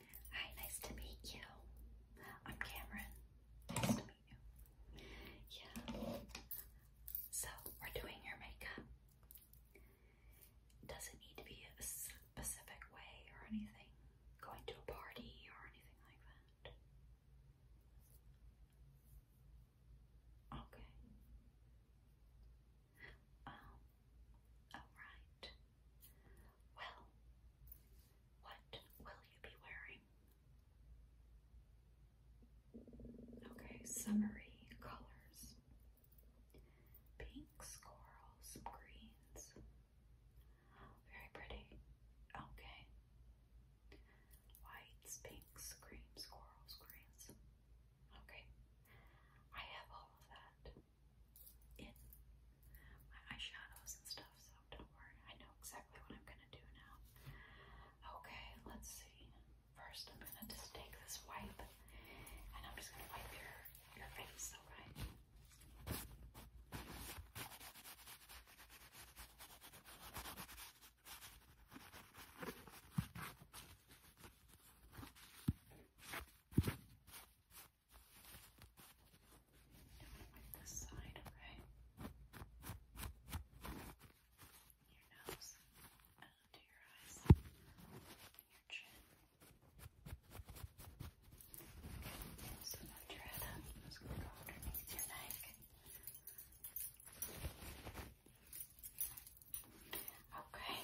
Hi, nice to meet you. I'm Cameron. Nice to meet you. Yeah. So, we're doing your makeup. Doesn't need to be a specific way or anything. Going to a party or anything like that. Okay. Um, all right. Well, what will you be wearing? Okay, summery colors. Pinks, corals, greens. Oh, very pretty. Okay. Whites, pinks, creams, corals, greens. Okay. I have all of that my eyeshadows and stuff, so don't worry. I know exactly what I'm gonna do now. Okay, let's see. First, I'm gonna just take this wipe, and I'm just gonna wipe your your face, alright? This side, okay? Your nose, and uh, your eyes, your chin. Okay, so your head up. gonna go underneath your neck. Okay,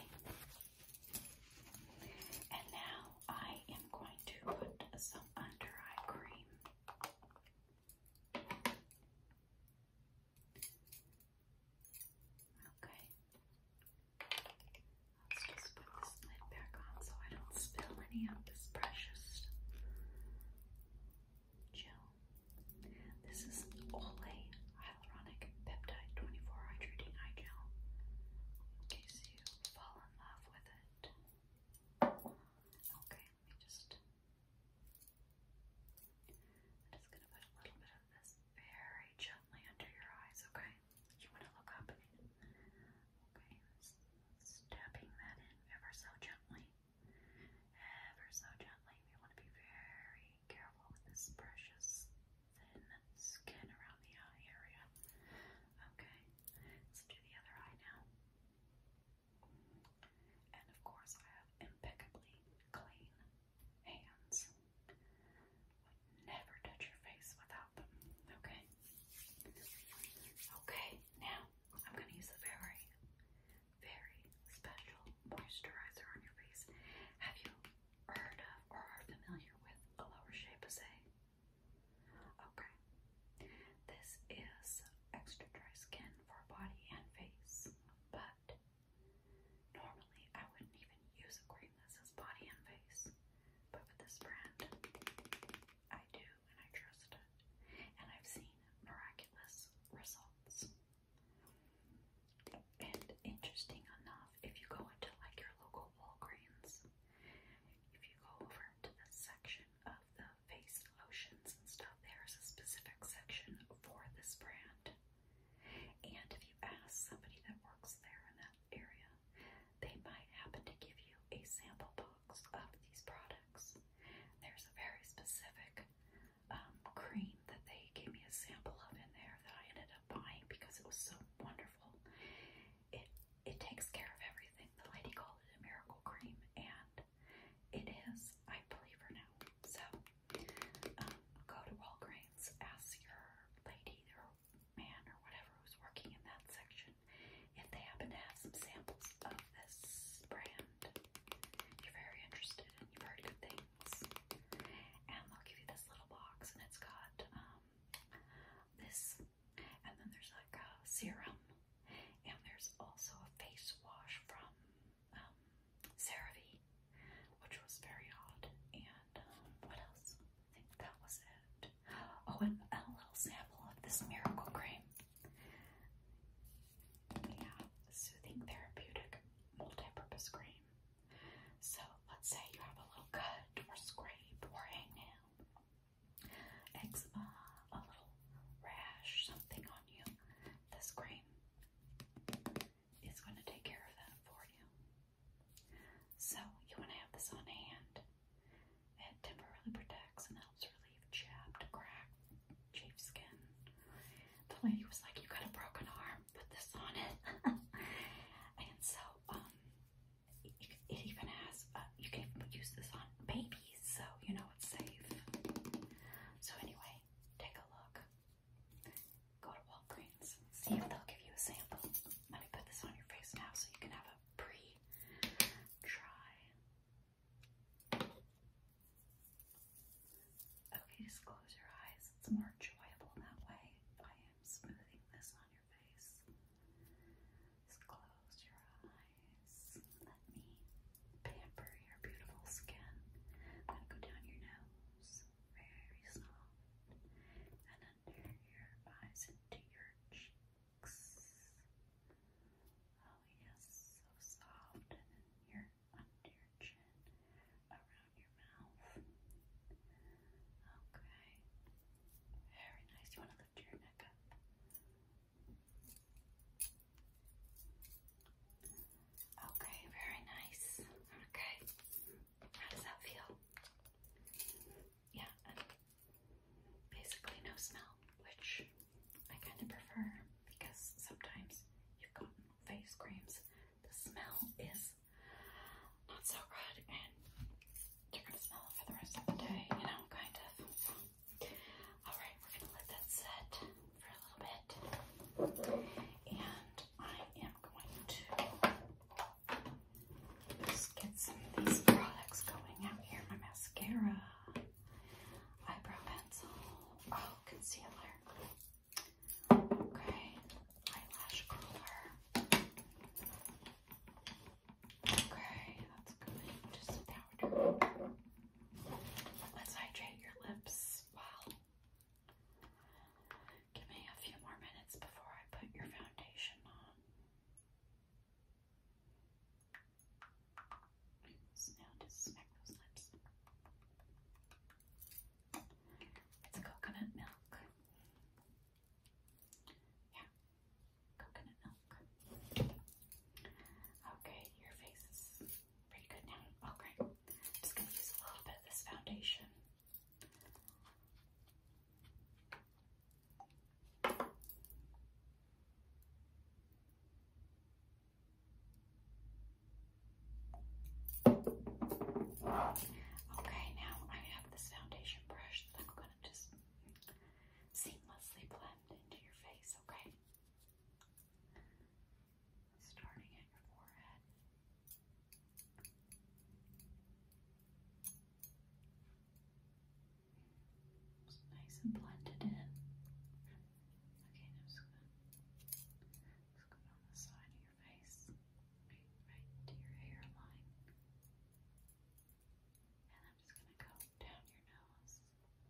and now I am going to put some under eye cream. Okay. Let's just put this lid back on so I don't spill any of this precious gel. This is Olay Hyaluronic Peptide 24 Hydrating Eye Gel. Okay, so fall in love with it. Okay, let me just. I'm just gonna put a little bit of this very gently under your eyes, okay? You wanna look up. Okay, stabbing that in ever so gently. Ever so gently. We wanna be very careful with this precious thin skin around the eye area. Okay, let's do the other eye now. And of course, I have impeccably clean hands. never touch your face without them. Okay. Okay, now I'm going to use a very, very special moisturizer on your face. Have you heard of or are familiar with Allure Chez Passé? Okay. This is extra dry skin for body and face, but normally I wouldn't even use a cream that says body and face. But with this brand, I do and I trust it. And I've seen miraculous results. And interesting enough, if you go into like your local Walgreens, if you go over into the section of the face lotions and stuff, there's a specific section for this brand. And if you ask somebody that works there in that area, they might happen to give you a sample box of these products. There's a very specific um, cream that they gave me a sample of in there that I ended up buying because it was so wonderful it it takes care of everything. The lady called it a miracle cream, and it is. I believe her now. So um, go to Walgreens, ask your lady or man or whatever who's working in that section if they happen to have some samples of this brand. You're very interested, and you've heard good things. And they'll give you this little box, and it's got um, this and then there's like a serum. And there's also a face wash from um, CeraVe, which was very hot. And um, what else? I think that was it. Oh, and a little sample of this miracle cream. Yeah, soothing therapeutic multi-purpose cream. So let's say you have a little cut or scrape or hangnail eczema, a little rash, something on you, this cream is going to take care of that for you. So, you want to have this on hand. It temporarily protects and helps relieve chapped, cracked, chafed skin. The lady was like, You got a broken arm, put this on it. and so, um, it, even has, uh, you can use this on babies, so you know it's safe. So anyway, take a look. Go to Walgreens, see if they'll give you a sample. Let me put this on your face now so you can have a pre-try. Okay, just close your eyes. It's more enjoyable that way. I am smoothing this just close your eyes. Let me pamper your beautiful skin. Then go down your nose, very soft, and under your eyes into your cheeks. Oh yes, so soft, and then your under your chin, around your mouth. Okay. Very nice. You want to lift your neck up. Okay, very nice. Okay. How does that feel? Yeah, basically no smell, which I kind of prefer because sometimes you've gotten face creams. The smell is not so good, and you're gonna smell it for the rest of the day, you know, kind of. alright, we're gonna let that set for a little bit, and I am going to just get some of these products going out here my mascara, eyebrow pencil, oh, concealer. Okay, eyelash curler. Okay, that's good. Just powder. Let's hydrate your lips. Wow. Give me a few more minutes before I put your foundation on. Now just smack those lips. It's coconut milk. Yeah, coconut milk. Okay, your face is pretty good now. Okay, I'm just gonna use a little bit of this foundation. Okay, now I have this foundation brush that I'm going to just seamlessly blend into your face, okay? Starting at your forehead. nice and blended in. Okay, now I'm just going on the side of your face, right, right your hairline. And I'm just going to go down your nose, smoothing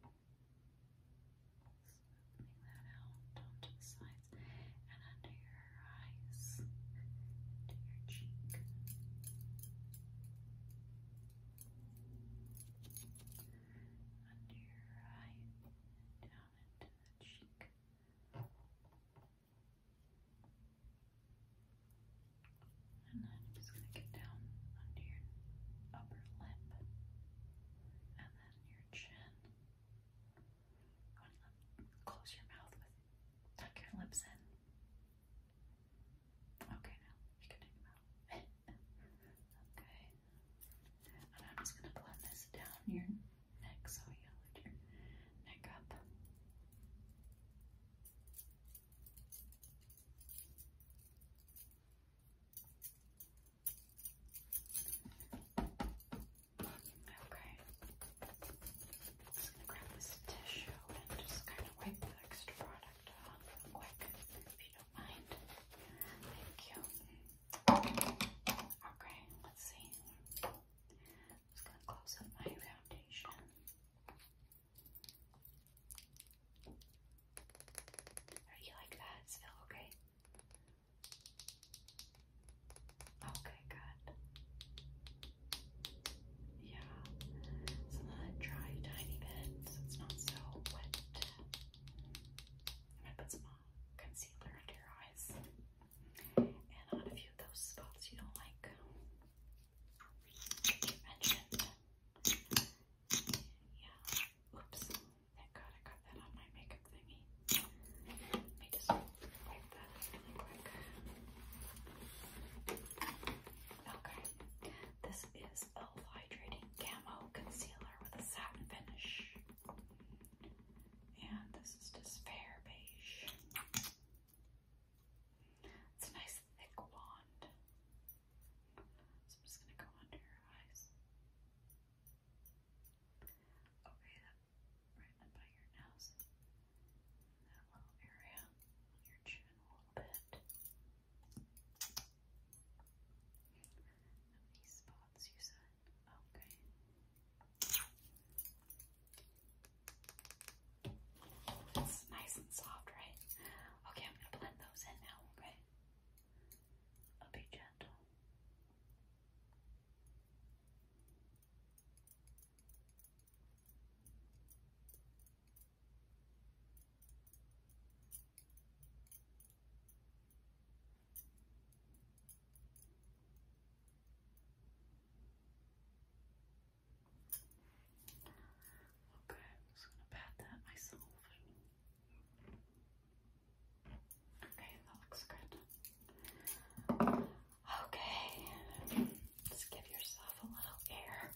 that out onto the sides and under your eyes, into your cheek. Under your eye, down into the cheek. And then I'm just going to get down under your upper lip and then your chin. close your mouth with tuck your lips in. Okay, now you can take them out. okay. And I'm just gonna blend this down your neck so you lift your neck up. Okay. just gonna grab this tissue and just kind of wipe the extra product off real if you don't mind. Thank you. Okay, let's see just gonna close up my foundation. Are you like that? still okay? Okay, good. Yeah, it's not dry tiny bit, so it's not so wet. I'm gonna put some uh, concealer under your eyes and on a few of those spots you don't like. Yeah. Oops. Thank God I got that on my makeup thingy. Let me just wipe that really quick. Okay. This is a hydrating camo concealer with a satin finish. And this is just fair beige. It's a nice thick wand. So I'm just going to go under your eyes. Okay, that right up by your nose. That little area on your chin a little bit. Now these spots you said. Okay. It's nice and soft, right? Okay, I'm gonna blend those in now, okay? I'll be gentle. Okay, Okay, just gonna pat that myself. Okay, that looks good. Okay, just give yourself a little air.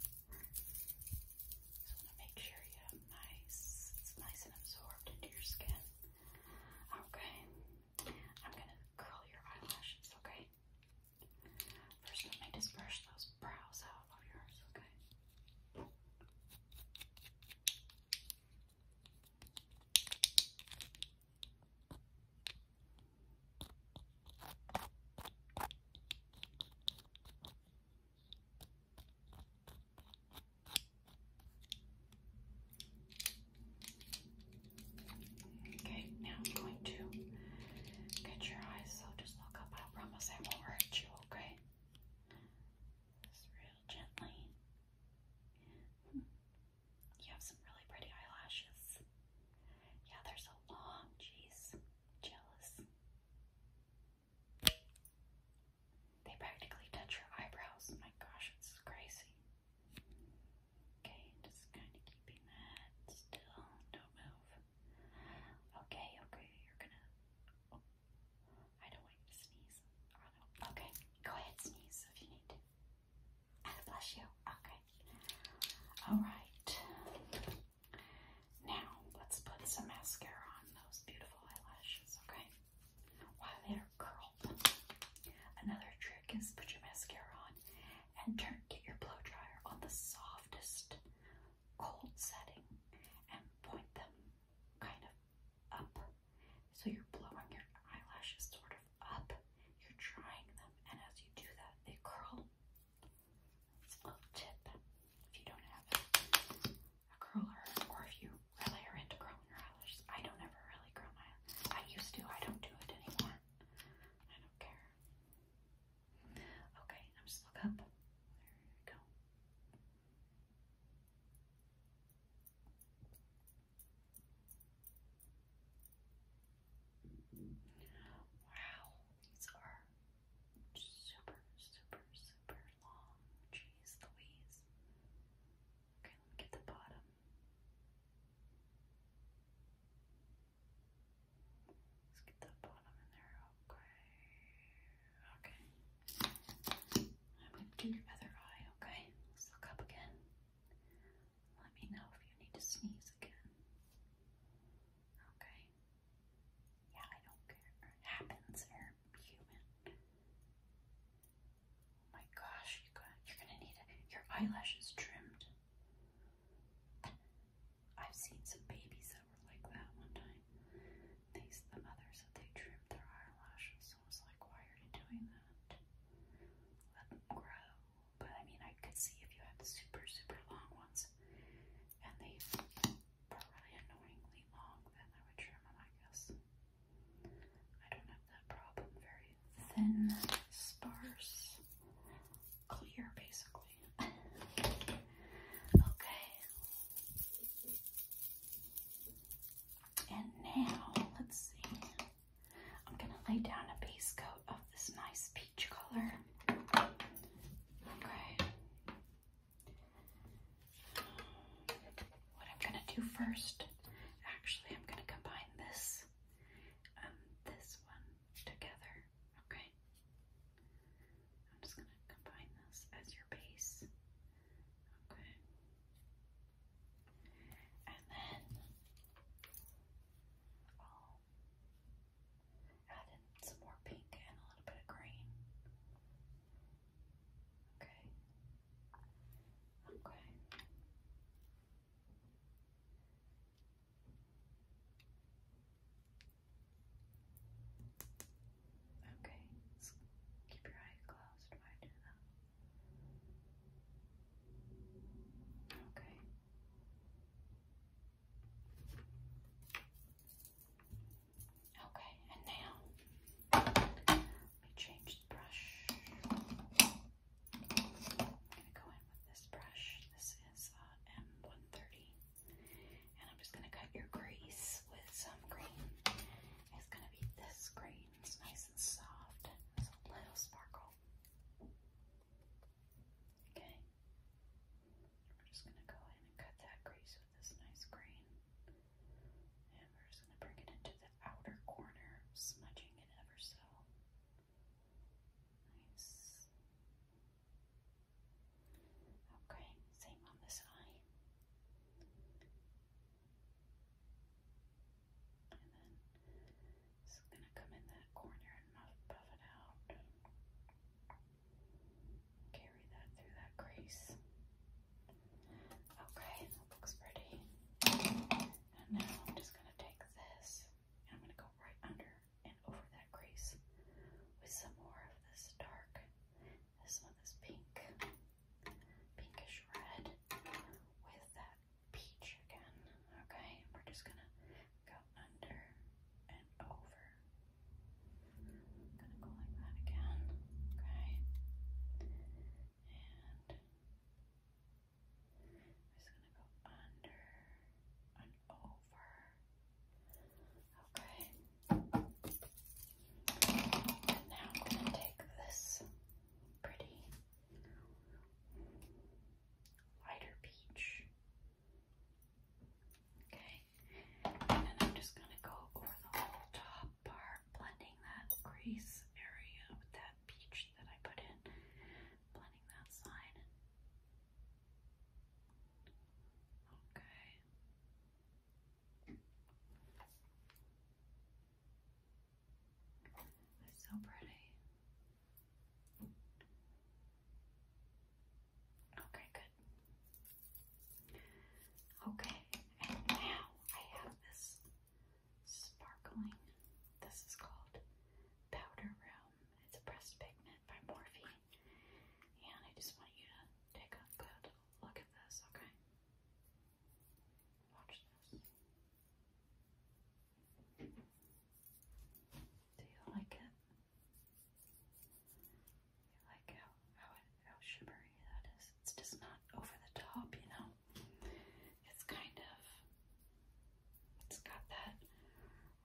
Just want to make sure you have nice, it's nice and absorbed into your skin. Okay, I'm gonna curl your eyelashes. Okay, First, let me just brush those brows out of yours, okay? Okay, now I'm going to get your eyes, so just look up. I promise I won't hurt you, okay? Just real gently. You have some really pretty eyelashes. Yeah, they're so long. Jeez, jealous. They practically touch your eyebrows. My gosh, it's crazy. Okay, just kind of keeping that still. do move. Okay, okay, you're gonna. Oh, I don't want you to sneeze. Okay, go ahead, sneeze if you need to. God bless you. Okay. All right. Now let's put some mascara on those beautiful eyelashes. Okay. While they're curled. Another trick is put your mascara on and turn get your blow dryer on the softest cold setting and point them kind of up. So you're blowing your eyelashes sort of up. You're drying them and as you do that they curl. It's a little tip if you don't have a curler or if you really are into curling your eyelashes. I don't ever really curl my I used to, I don't do it anymore. I don't care. Okay, I'm just look up. There we go. Wow, these are super, super, super long. Jeez Louise. Okay, let me get the bottom. Let's get that bottom in there. Okay. Okay. I'm going to do your other eye, okay? Let's look up again. Let me know if you need to sneeze again. Okay. Yeah, I don't care. happens. They're human. Oh my gosh, you got, you're gonna need your eyelashes trimmed. I've seen some babies that were like that one time. They, the mother said they trimmed their eyelashes. So I was like, why are you doing that? Let them grow. But I mean, I could see if you had super, super long ones, and they were really annoyingly long, then I would trim them, I guess. I don't have that problem. Very thin, sparse clear basically. okay. And now, let's see. I'm going to lay down a base coat of this nice peach color. Okay. What I'm going to do first, actually, I'm going to combine this um this one together. Okay. I'm just going to combine this as your base. Okay. And then I'll add in some more pink and a little bit of green. Okay. Okay. Okay, keep your eyes closed when I do that. Okay. Okay, and now let change the brush. I'm gonna go in with this brush. This is uh, M130, and I'm just gonna cut your crease with some green. It's gonna be this green. It's nice and soft. It's a little sparkle. Okay. We're just gonna go in and cut that crease with this nice green. And we're just gonna bring it into the outer corner, smudging it ever so. Okay, same on this eye. And then this going to come in that corner and muff, it out. Carry that through that crease. Okay, that looks pretty. And now I'm just going to take this and I'm going to go right under and over that crease with some more of this dark. This one is pink, pinkish red with that peach again. Okay, and we're just gonna go under and over. gonna go like that again. Okay, and I'm just gonna go under and over. Okay. And now I'm gonna take this pretty lighter peach. Okay. And I'm just gonna go over the whole top part, blending that crease area with that peach that I put in, blending that side Okay. It's so pretty. Okay, good. Okay, and now I have this sparkling. This is called Powder Room it's a breast pigment by Morphe. And I just want you to take a good look at this, okay? Watch this. Do you like it? You like how how, it, how shimmery that is? It's just not over the top, you know. It's kind of it's got that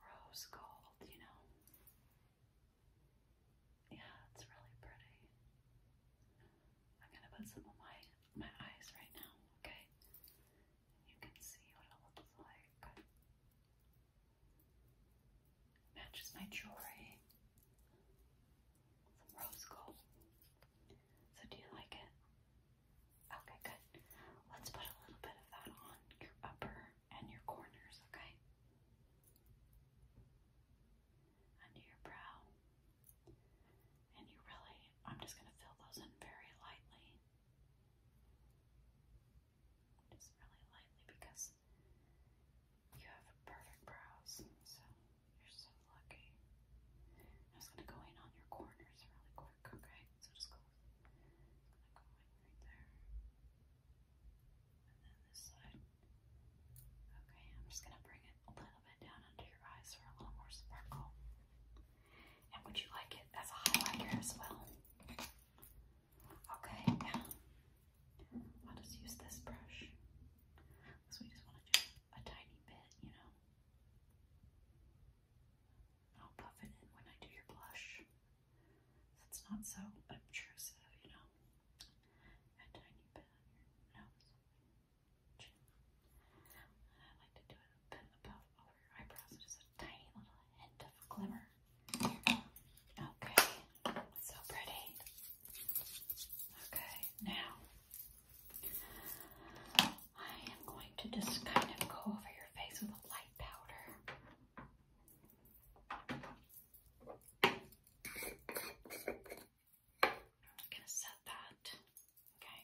rose gold, you know. Yeah, it's really pretty. I'm gonna put some on my my eyes right now, okay? You can see what it looks like. Matches my jewelry. rose gold. So do you like it? Okay, good. Let's put a little bit of that on your upper and your corners, okay? Under your brow. And you really, I'm just going to fill those in very lightly. Just really lightly because you have perfect brows, so you're so lucky. just going to go in on your corners really quick okay? So just go, it's going right there. And then this side. Okay, I'm just gonna bring it a little bit down under your eyes for a little more sparkle. And would you like it as a highlighter as well? Okay, now I'll just use this brush. So we just want to do a tiny bit, you know. And I'll puff it in when I do your blush. So it's not so obtrusive, you know. A tiny bit on your nose, I like to do it a bit above over your eyebrows. Just a tiny little hint of glimmer. Okay, so pretty. Okay, now I am going to just kind of go over your face with a light powder. I'm going to set that. Okay.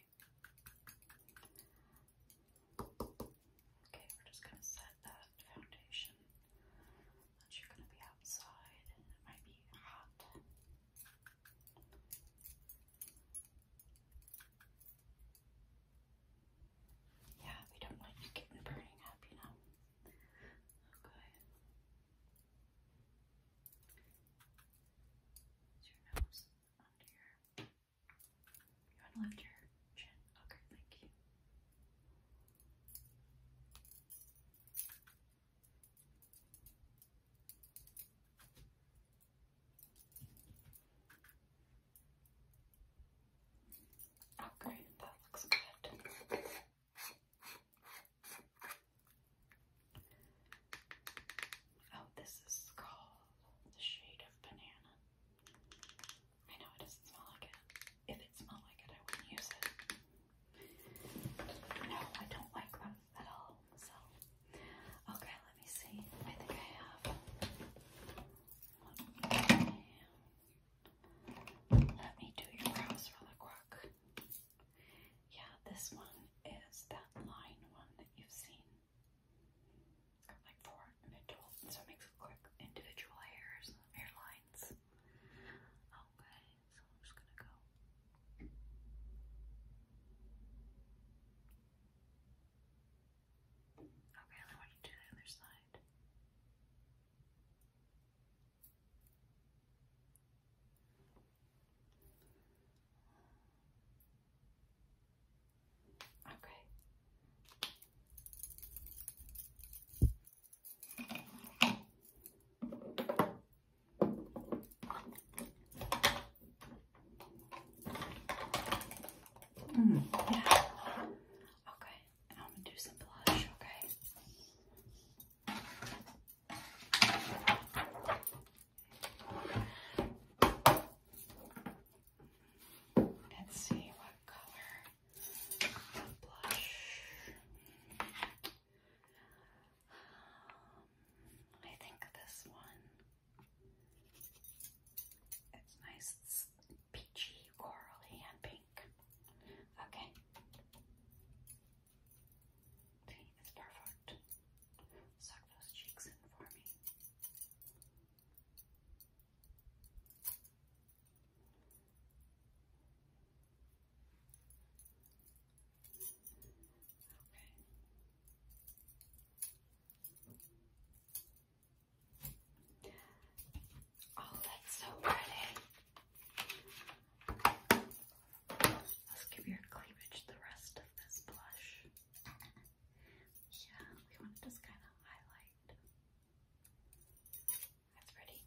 Okay, we're just going to set that foundation. That you're going to be outside it might be hot. Yeah, we don't want you getting burning up, you know. Okay. Is your nose under your you want to lift your chin? Okay, thank you. Oh, that looks good. Oh, this is called the shade of banana. I know it doesn't smell like it. If it smelled like it, I wouldn't use it. No, I don't like them at all. So, okay, let me see. I think I have Okay. Let me do your brows really quick. Yeah, this one is that line one that you've seen. got like four individual, so it makes it individual hairs, hairlines. Okay, oh, so I'm just gonna go. Okay, I then what you do the other side? Okay. Mm. yeah. Okay, I'm gonna do some blush, okay? Let's see what color blush. Um, I think this one it's nice, it's peachy, corally, and pink. Okay. See, it's perfect. Suck those cheeks in for me. Okay. Oh, that's so pretty. Let's give your cleavage the rest of this blush. Yeah, we want to just kind of highlight. That's pretty.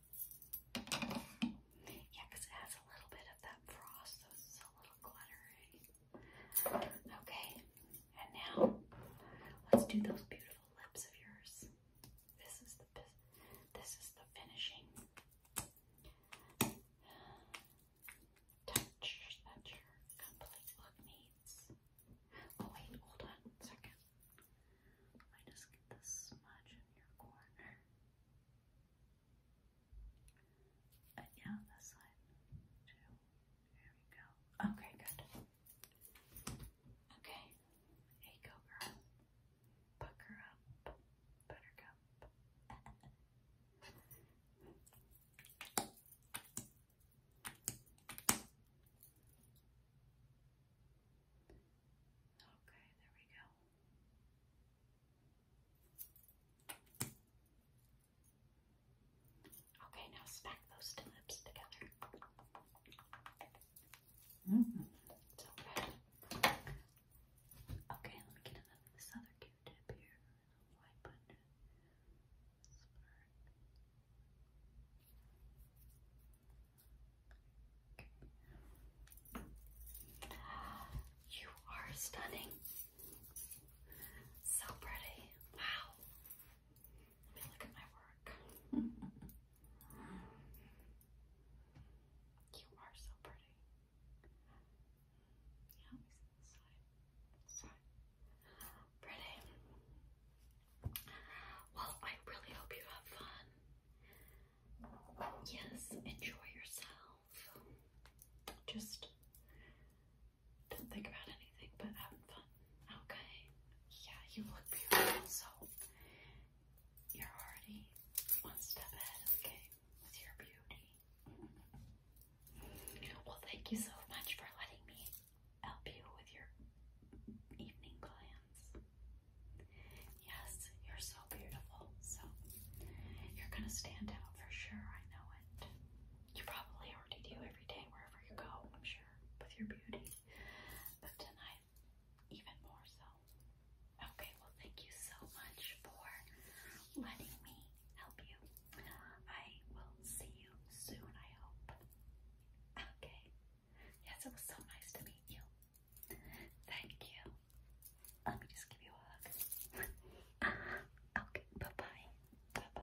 Yeah, because it has a little bit of that frost, so it's a little glittery. Okay, and now let's do those beautiful lips of yours. This is the this is the finishing touch that your complete look needs. Oh wait, hold on second. Let just get this smudge in your corner. And yeah, this side there we go. Okay, good. Okay. Hey, go girl. Pucker up. Buttercup. Okay, there we go. Okay, now smack those lips together. So good. Okay, let me get another this other Q-tip here. Wipe under. You are stunning. So pretty. Wow. Let me look at my work. you are so pretty. Yeah, let me see this side. This side. Pretty. Well, I really hope you have fun. Yes, enjoy yourself. Just don't think about anything but having fun. Okay. Yeah, you look beautiful. So you're already one step ahead of the your beauty. Well, thank you so much for letting me help you with your evening plans. Yes, you're so beautiful. So you're gonna stand out for sure. I know it. You probably already do every every day wherever you go, I'm sure, with your beauty. But tonight, even more so. Okay, well, thank you so much for letting me help you. I will see you soon, I hope. Okay. Yes, it was so nice to meet you. Thank you. Let me just give you a hug. okay, bye bye. Bye bye.